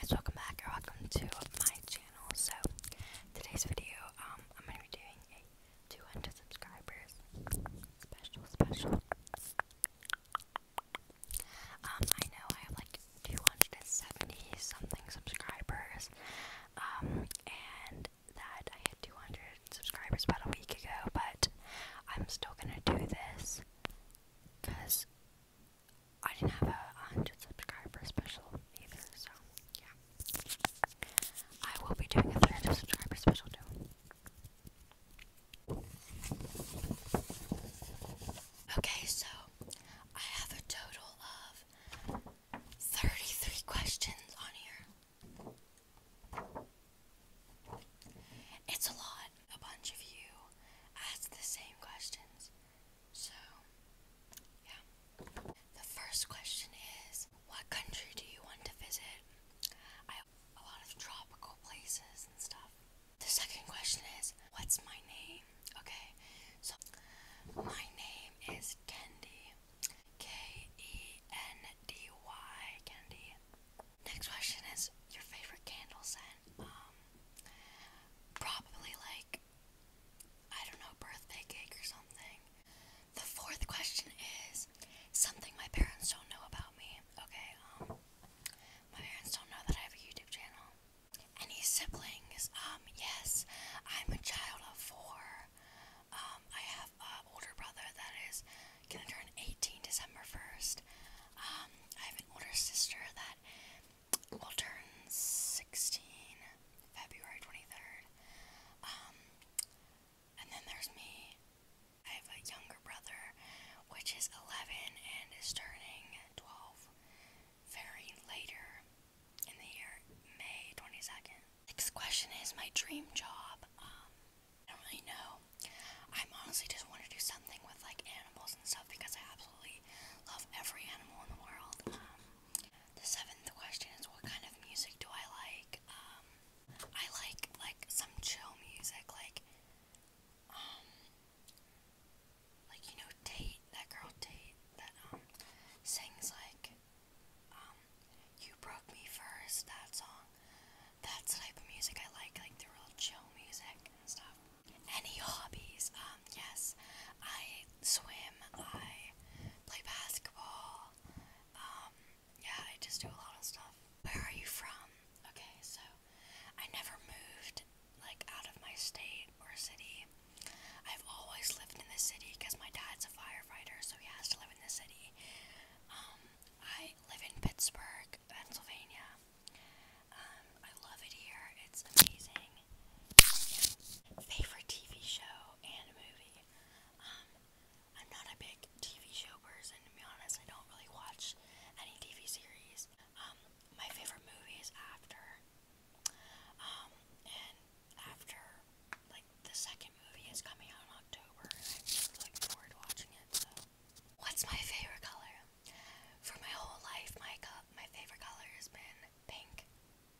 guys, welcome back or welcome to my channel. So, today's video, um, I'm gonna be doing a 200 subscribers special, special. Um, I know I have like 270 something subscribers, um, and that I had 200 subscribers about a week ago, but I'm still gonna do this because I didn't have a hundred subscriber special either, so yeah. I will be doing a 300 subscriber special too. Okay, so I have a total of 33 questions on here. It's a lot. A bunch of you asked the same questions, so, yeah. The first question is What country do you want to visit? I a lot of tropical places and stuff. The second question is What's my name? Okay, so my name is Kendi. K E N D Y, Kendi. Next question is Your favorite candle scent? Um, probably like I don't know, birthday cake or something. The fourth question is something my parents don't know about me. Okay, um, my parents don't know that I have a YouTube channel. Any siblings? Um, yes, I'm a child of four. Um, I have an older brother that is gonna turn 18 December 1st. Um, I have an older sister that will turn 16 February 23rd. Um, and then there's me. I have a younger brother, which is 11 and is turning 12 very later in the year, May 22nd. Next question is my dream job. Um, I don't really know. I'm honestly just want to do something with like animals and stuff because I absolutely love every animal in the world. Um, the seventh question is what kind of music do I like? Um, I like like some chill music, like um, like you know Tate, that girl Tate that um sings like um you broke me first that song. That's type of music I like, like the real chill music and stuff. Any hobbies? Um, yes, I swim. I play basketball. Um, yeah, I just do a lot of stuff. Where are you from? Okay, so I never moved like out of my state or city. I've always lived in the city because my dad's a firefighter, so he has to live in the city. Um, I live in Pittsburgh, Pennsylvania. Um, I love it here. It's amazing. Favorite TV show and movie? Um, I'm not a big TV show person, to be honest. I don't really watch any TV series. Um, my favorite movie is After. Um, and After, like, the second movie is coming out in October, and I'm just looking forward to watching it, so. What's my favorite color? For my whole life, my my favorite color has been pink.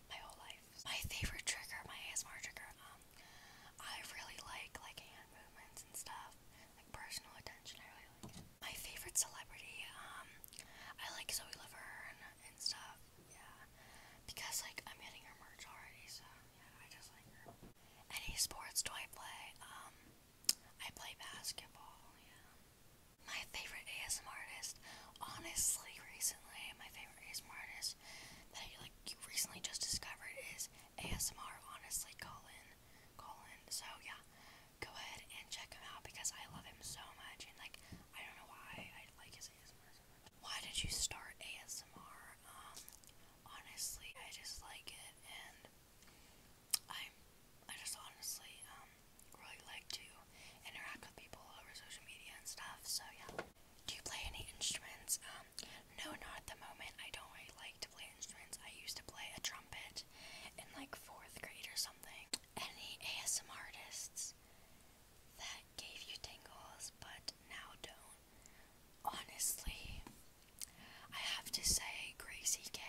My whole life. My favorite trigger, my ASMR trigger. Um, I really like like hand movements and stuff, like personal attention. I really like it. My favorite celebrity. Um, I like Zoe Laverne and stuff. Yeah, because like I'm getting her merch already, so yeah, I just like her. Any sports do I play? Um, I play basketball. Yeah. My favorite ASMR artist, honestly, recently, my favorite ASMR artist that I like recently just discovered is ASMR. Honestly, Colin, Colin. So yeah, go ahead and check him out because I love him so much, and like I don't know why I like his ASMR so much. Why did you start ASMR? Um, honestly, I just like it, and I, I just honestly um really like to interact with people over social media and stuff, so yeah. Do you play any instruments? Um, no, not at the moment. I don't like to play instruments. I used to play a trumpet in like fourth grade or something. Any ASMR artists that gave you tingles but now don't? Honestly, I have to say Gracie K,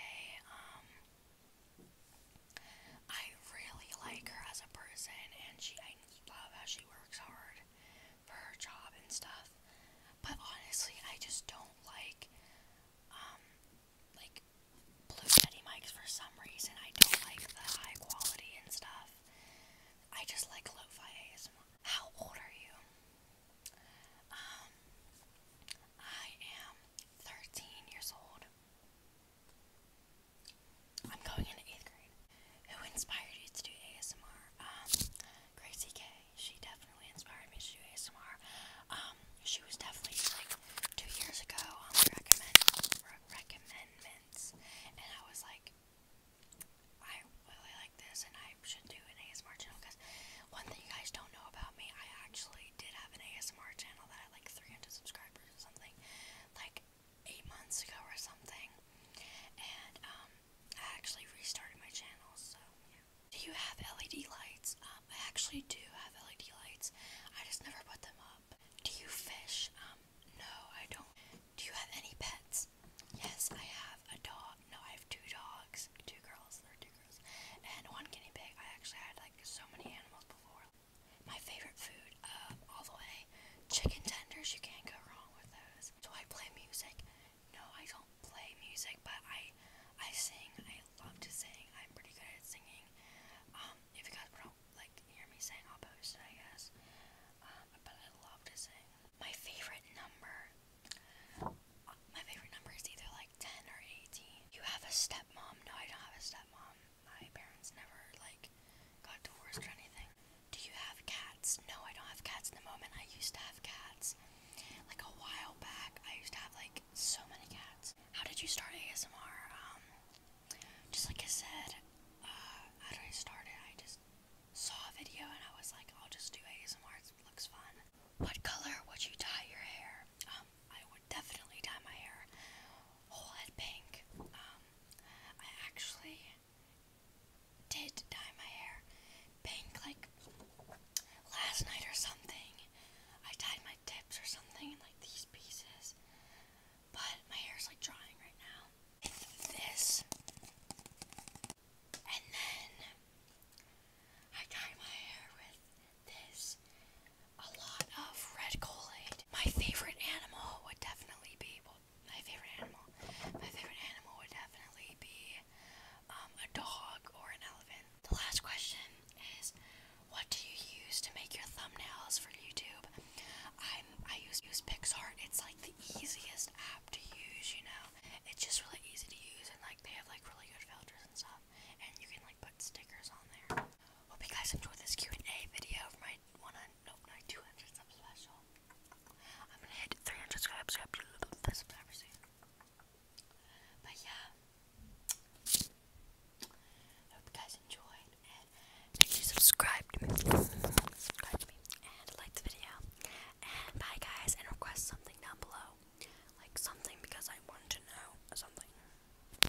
um, I really like her as a person, and she I love how she works hard for her job and stuff. But honestly, I just don't like um like blue Yeti mics for some reason. I don't like the high quality and stuff. I just like lo-fi ASMR. How old are you? Um, I am 13 years old. I'm going into eighth grade. Who inspired you to do ASMR? Um, Gracie K. She definitely inspired me to do ASMR. Um, she was definitely like two years ago on the recommend and I was like, I really like this, and I should do an ASMR channel because one thing you guys don't know about me, I actually did have an ASMR channel that had like 300 subscribers something, like eight months ago or something. And um, I actually restarted my channel, so Do you have LED lights? Um, I actually do have LED lights. I just never put them up. Do you fish? Um, no, I don't. Do you have any pets? Yes, I have a dog. No, I have two dogs. Two girls. There are two girls. And one guinea pig. I actually had like so many animals before. My favorite food uh, all the way. Chicken tenders, you can't go wrong with those. Do I play music? No, I don't play music, but I I sing. I love to sing. I'm pretty good at singing. Um, if you guys don't like hear me sing, I'll post it, I guess. Um, but I love to sing. My favorite number, my favorite number is either like 10 or 18. You have a stepmom? No, I don't have a stepmom. My parents never like got divorced or anything. Do you have cats? No, I don't have cats in the moment. I used to have cats. Like a while back, I used to have like so many cats. How did you start ASMR? Um, just like I said, uh, how did I start it? I just saw a video and I was like, I'll just do ASMR. It looks fun. What color would you dye your hair? I would definitely dye my hair whole head pink. Um, I actually did dye my hair pink like last night or something. I dyed my tips or something like these pieces. But my hair's like drying right now. It's this. And then I dye my hair with this a lot of red kool My favorite animal would definitely be my favorite animal. My favorite animal would definitely be um, a dog or an elephant. The last question is, what do you use to make your thumbnails for YouTube? I'm I use use PixArt. It's like the easiest app to use. You know, it's just really easy to use, and like they have like really good filters and stuff, and you can like Hope you guys enjoyed this Q&A video for my one nope, my 200 special. I'm gonna hit 300 subscribers But yeah, hope you guys enjoyed and you subscribe to me, subscribe to me, and like the video. And bye guys, and request something down below, like something because I want to know something.